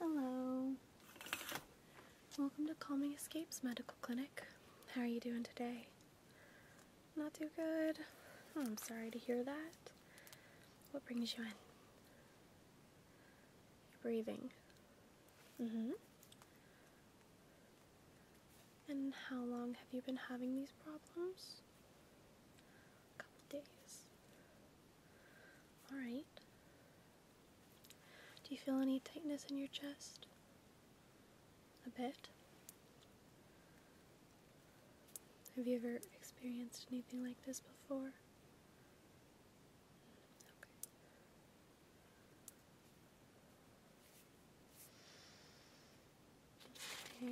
Hello. Welcome to Calming Escapes Medical Clinic. How are you doing today? Not too good. Oh, I'm sorry to hear that. What brings you in? You're breathing. Mm-hmm. And how long have you been having these problems? A couple days. Alright. Do you feel any tightness in your chest? A bit? Have you ever experienced anything like this before?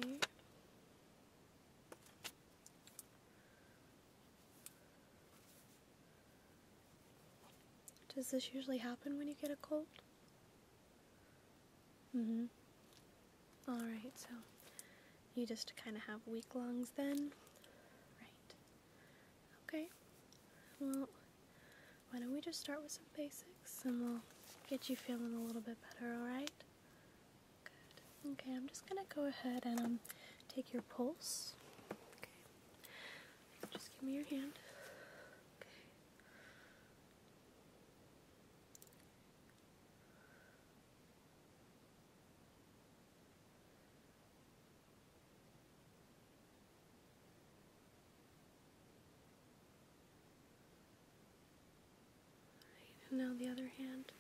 Okay. Does this usually happen when you get a cold? hmm Alright, so you just kind of have weak lungs then? Right. Okay. Well, why don't we just start with some basics and we'll get you feeling a little bit better, alright? Good. Okay, I'm just gonna go ahead and um, take your pulse. just give me your hand. and now the other hand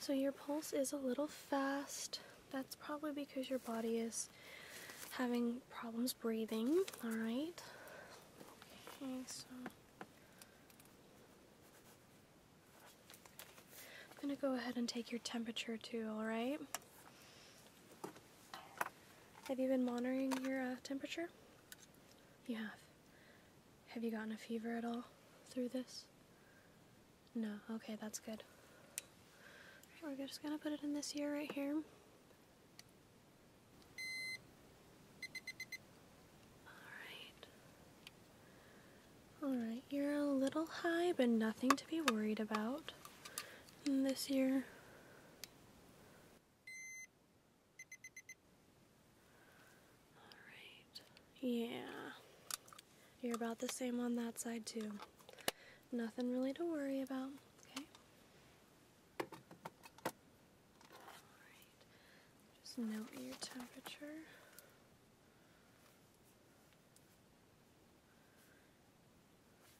so your pulse is a little fast. That's probably because your body is having problems breathing. Alright, I'm going to go ahead and take your temperature too, alright? Have you been monitoring your uh, temperature? You have. Have you gotten a fever at all through this? No. Okay, that's good. we're just going to put it in this ear right here. Alright. Alright, you're a little high, but nothing to be worried about this year. Alright, yeah. You're about the same on that side, too. Nothing really to worry about. Okay. All right. Just note your temperature.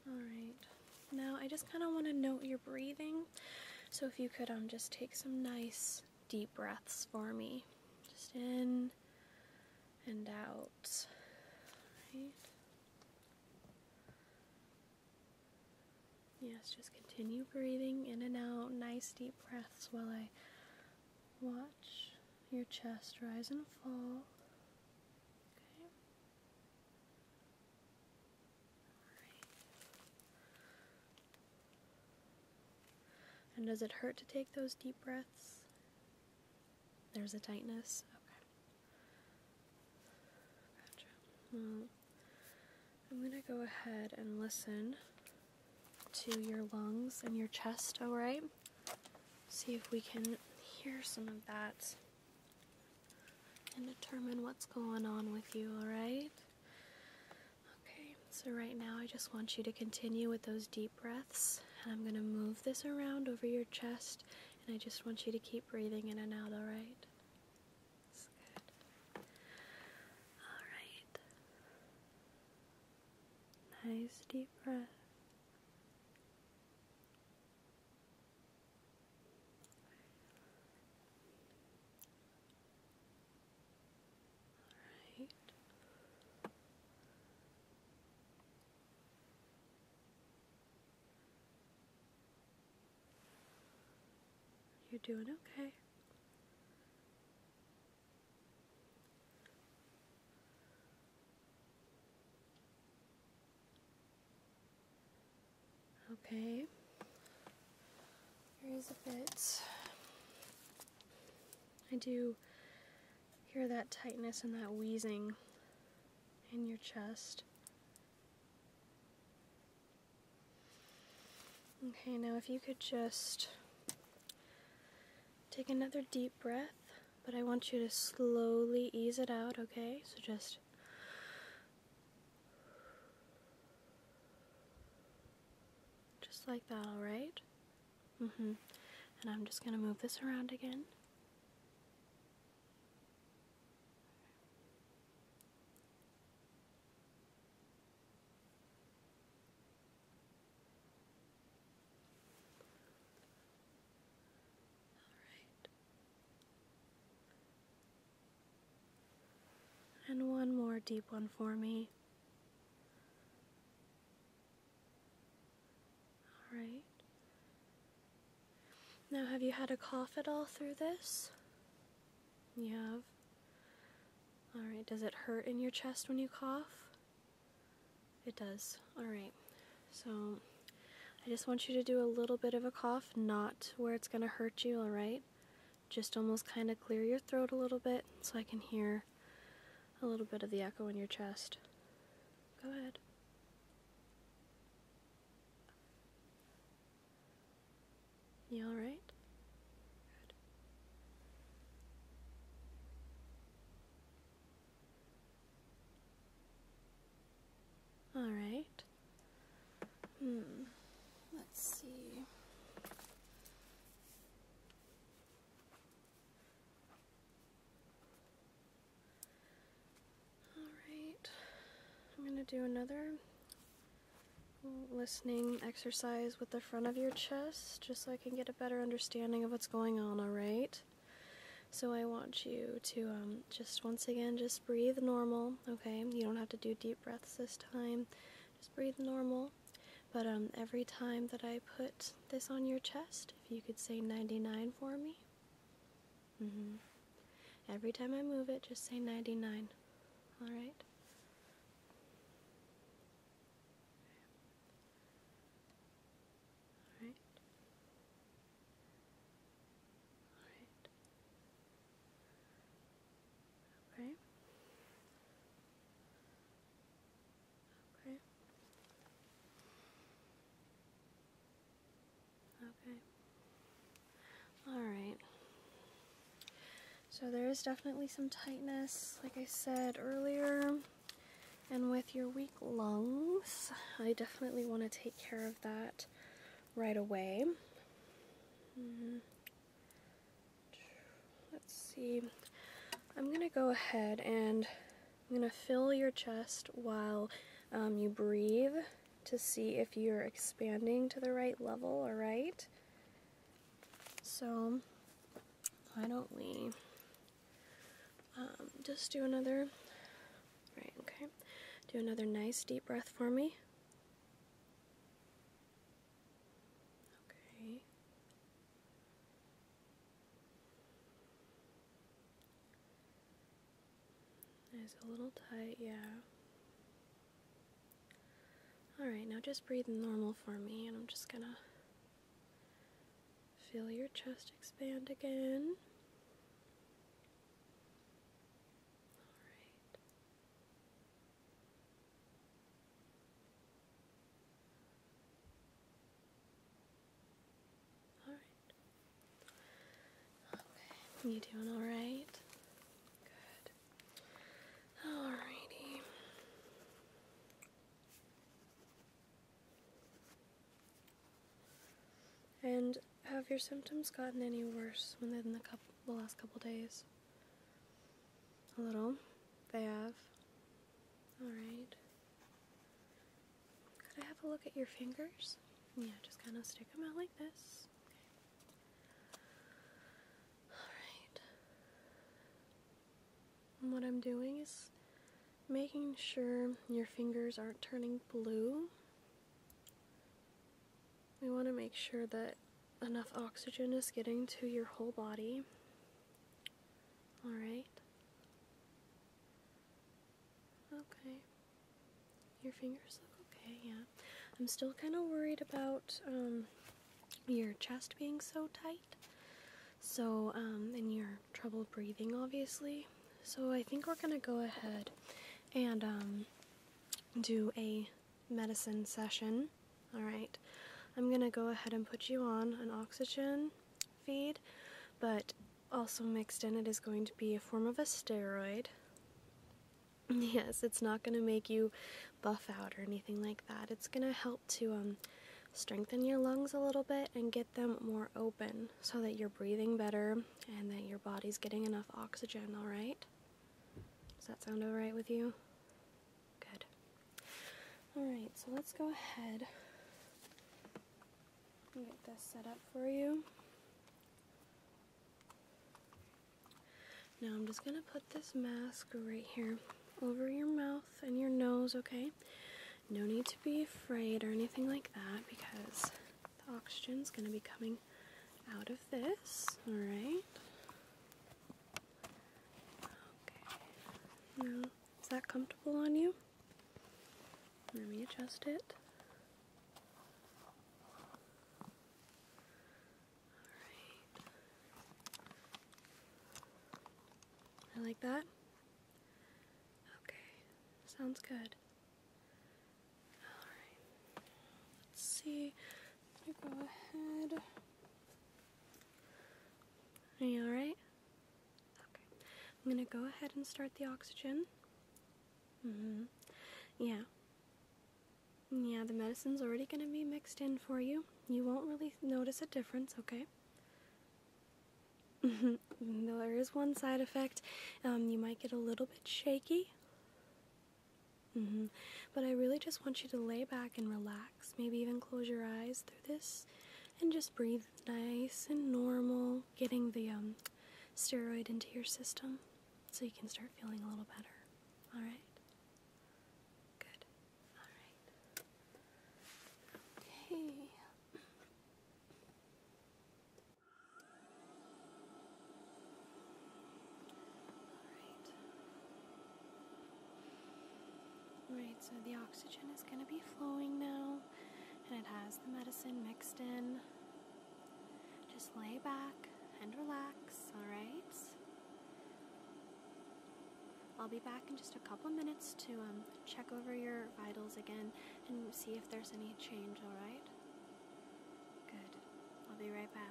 Alright, now I just kind of want to note your breathing, so if you could um, just take some nice deep breaths for me. Just in and out. Right. Yes, just continue breathing in and out, nice deep breaths while I Watch your chest rise and fall. Okay. And does it hurt to take those deep breaths? There's a tightness. Okay. I'm going to go ahead and listen to your lungs and your chest, alright? See if we can hear some of that and determine what's going on with you, alright? Okay, so right now I just want you to continue with those deep breaths, and I'm going to move this around over your chest, and I just want you to keep breathing in and out, alright? All right. Nice deep breath. All right. You're doing okay. Okay, there is a bit. I do hear that tightness and that wheezing in your chest. Okay, now if you could just Take another deep breath, but I want you to slowly ease it out, okay? So just just like that, all right? Mm-hmm. And I'm just going to move this around again. Alright. And one more deep one for me. Alright. Now, have you had a cough at all through this? You have? Alright, does it hurt in your chest when you cough? It does. Alright, so I just want you to do a little bit of a cough, not where it's going to hurt you, alright? Just almost kind of clear your throat a little bit so I can hear a little bit of the echo in your chest. Go ahead. You alright? All right. Hmm. Let's see. All right. I'm going to do another listening exercise with the front of your chest just so I can get a better understanding of what's going on, alright? So I want you to um, just once again just breathe normal, okay? You don't have to do deep breaths this time. Just breathe normal. But um, every time that I put this on your chest, if you could say 99 for me. Mm -hmm. Every time I move it, just say 99. Alright? All right. All right. Okay. Okay. Okay. All right. So there is definitely some tightness, like I said earlier. And with your weak lungs, I definitely want to take care of that right away. Mm-hmm. Let's see. I'm going to go ahead and I'm going to fill your chest while um, you breathe to see if you're expanding to the right level, alright? So why don't we just do another, right, okay, do another nice deep breath for me. Okay. It's a little tight, yeah. Alright, now just breathe normal for me, and I'm just gonna Feel your chest expand again. All right. All right. Okay. You doing all right? Good. Alrighty. And have your symptoms gotten any worse within the, last couple days? A little. They have. Alright. Could I have a look at your fingers? Yeah, just kind of stick them out like this. Okay. Alright what I'm doing is making sure your fingers aren't turning blue. We want to make sure that enough oxygen is getting to your whole body. Alright. Okay. Your fingers look okay, yeah. I'm still kind of worried about um, your chest being so tight. So, um, and your trouble breathing, obviously. So, I think we're gonna go ahead and um, do a medicine session. Alright, I'm gonna go ahead and put you on an oxygen feed, but also mixed in it is going to be a form of a steroid. Yes, it's not going to make you buff out or anything like that. It's going to help to um, strengthen your lungs a little bit and get them more open so that you're breathing better and that your body's getting enough oxygen, all right? Does that sound all right with you? Good. All right, so let's go ahead and get this set up for you. Now I'm just going to put this mask right here over your mouth and your nose, okay? No need to be afraid or anything like that because the oxygen's going to be coming out of this, alright? Okay. is that comfortable on you? Let me adjust it. Alright. I like that? Okay, sounds good. Alright, let's see. I'm gonna go ahead. Are you alright? Okay, I'm gonna go ahead and start the oxygen. hmm. Yeah. Yeah, the medicine's already gonna be mixed in for you. You won't really notice a difference, okay? Mm-hmm. there is one side effect. Um, you might get a little bit shaky. Mm-hmm. But I really just want you to lay back and relax. Maybe even close your eyes through this and just breathe nice and normal, getting the um, steroid into your system so you can start feeling a little better. All right? Good. Okay. All right. Right, so the oxygen is going to be flowing now, and it has the medicine mixed in. Just lay back and relax, all right? I'll be back in just a couple minutes to um, check over your vitals again and see if there's any change, alright? Good. I'll be right back.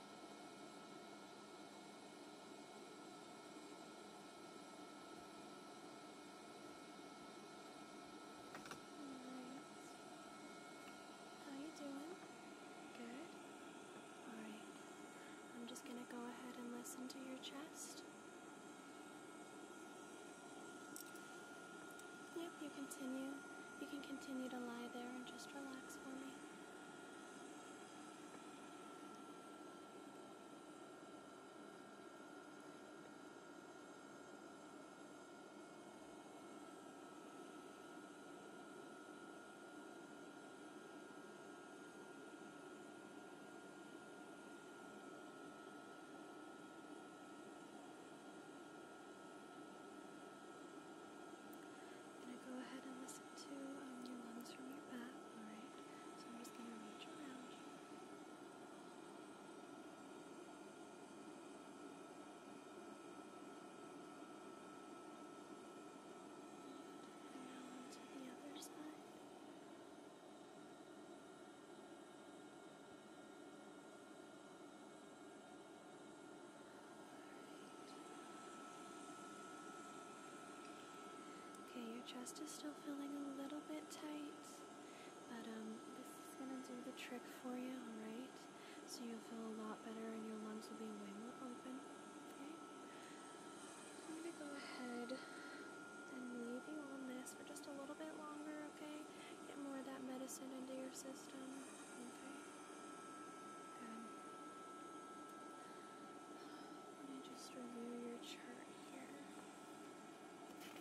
How you doing? Good? Alright. I'm just gonna go ahead and listen to your chest. Yep, you continue. You can continue to lie there and just relax for me. I'm going to go ahead and listen to um, your lungs from your back, alright? So I'm just going to reach around you. And now onto the other side. Okay, your chest is still feeling a little bit tight, but um, this is gonna do the trick for you, alright? So you'll feel a lot better and your lungs will be way more open. Okay? I'm gonna go ahead and leave you on this for just a little bit longer, okay? Get more of that medicine into your system. Okay. Good. Let me just review your chart here. Okay.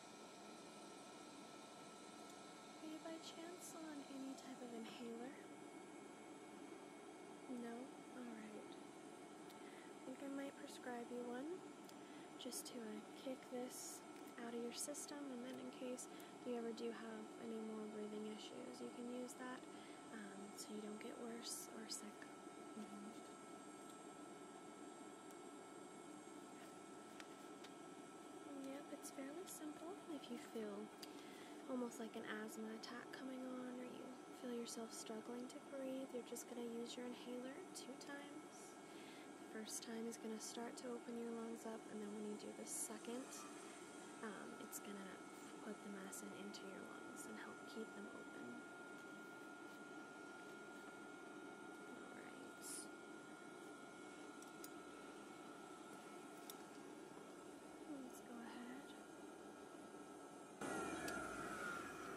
Are you by chance on any type of inhaler? No? Alright. I think I might prescribe you one just to uh, kick this out of your system, and then in case you ever do have any more breathing issues, you can use that um, so you don't get worse or sick. Mm-hmm. Yep, it's fairly simple. If you feel almost like an asthma attack coming on or you feel yourself struggling to breathe, you're just going to use your inhaler two times. The first time is going to start to open your lungs up, and then when you do the second, um, it's going to put the medicine into your lungs and help keep them open. Alright. Let's go ahead.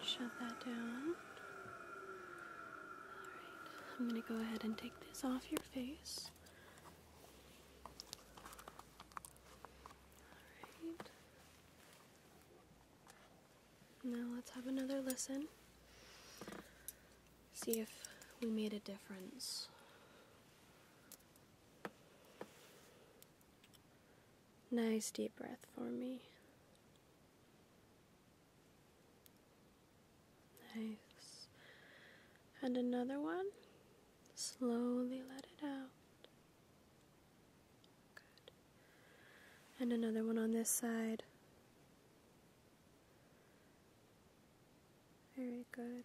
Shut that down. Alright, I'm going to go ahead and take this off your face. Alright. Now let's have another listen see if we made a difference. Nice deep breath for me. Nice. And another one. Slowly let it out. Good. And another one on this side. Very good.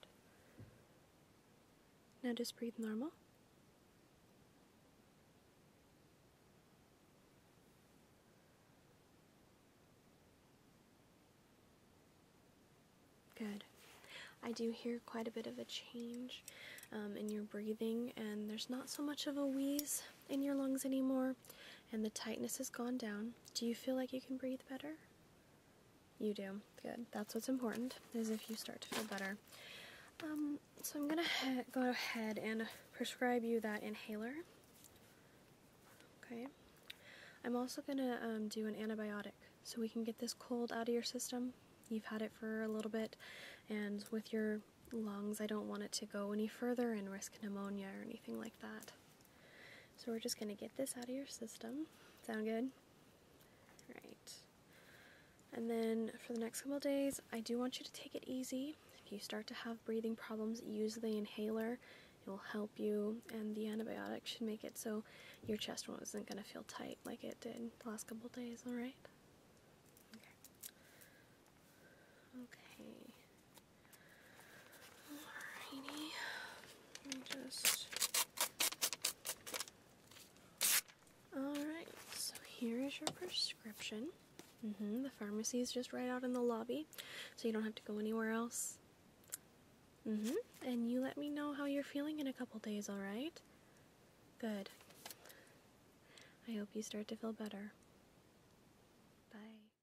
Now just breathe normal. Good. I do hear quite a bit of a change um, in your breathing, and there's not so much of a wheeze in your lungs anymore and the tightness has gone down. Do you feel like you can breathe better? You do. Good. That's what's important, is if you start to feel better. Um, so I'm going to go ahead and prescribe you that inhaler. Okay. I'm also going to um, do an antibiotic so we can get this cold out of your system. You've had it for a little bit, and with your lungs, I don't want it to go any further and risk pneumonia or anything like that. So we're just going to get this out of your system. Sound good? Right. And then for the next couple days, I do want you to take it easy. If you start to have breathing problems, use the inhaler. It will help you, and the antibiotic should make it so your chest wasn't going to feel tight like it did the last couple days, alright? Okay. Okay. Alrighty. Just Alright, so here is your prescription. -hmm. The pharmacy is just right out in the lobby, so you don't have to go anywhere else. -hmm. And you let me know how you're feeling in a couple days, alright? Good. I hope you start to feel better. Bye.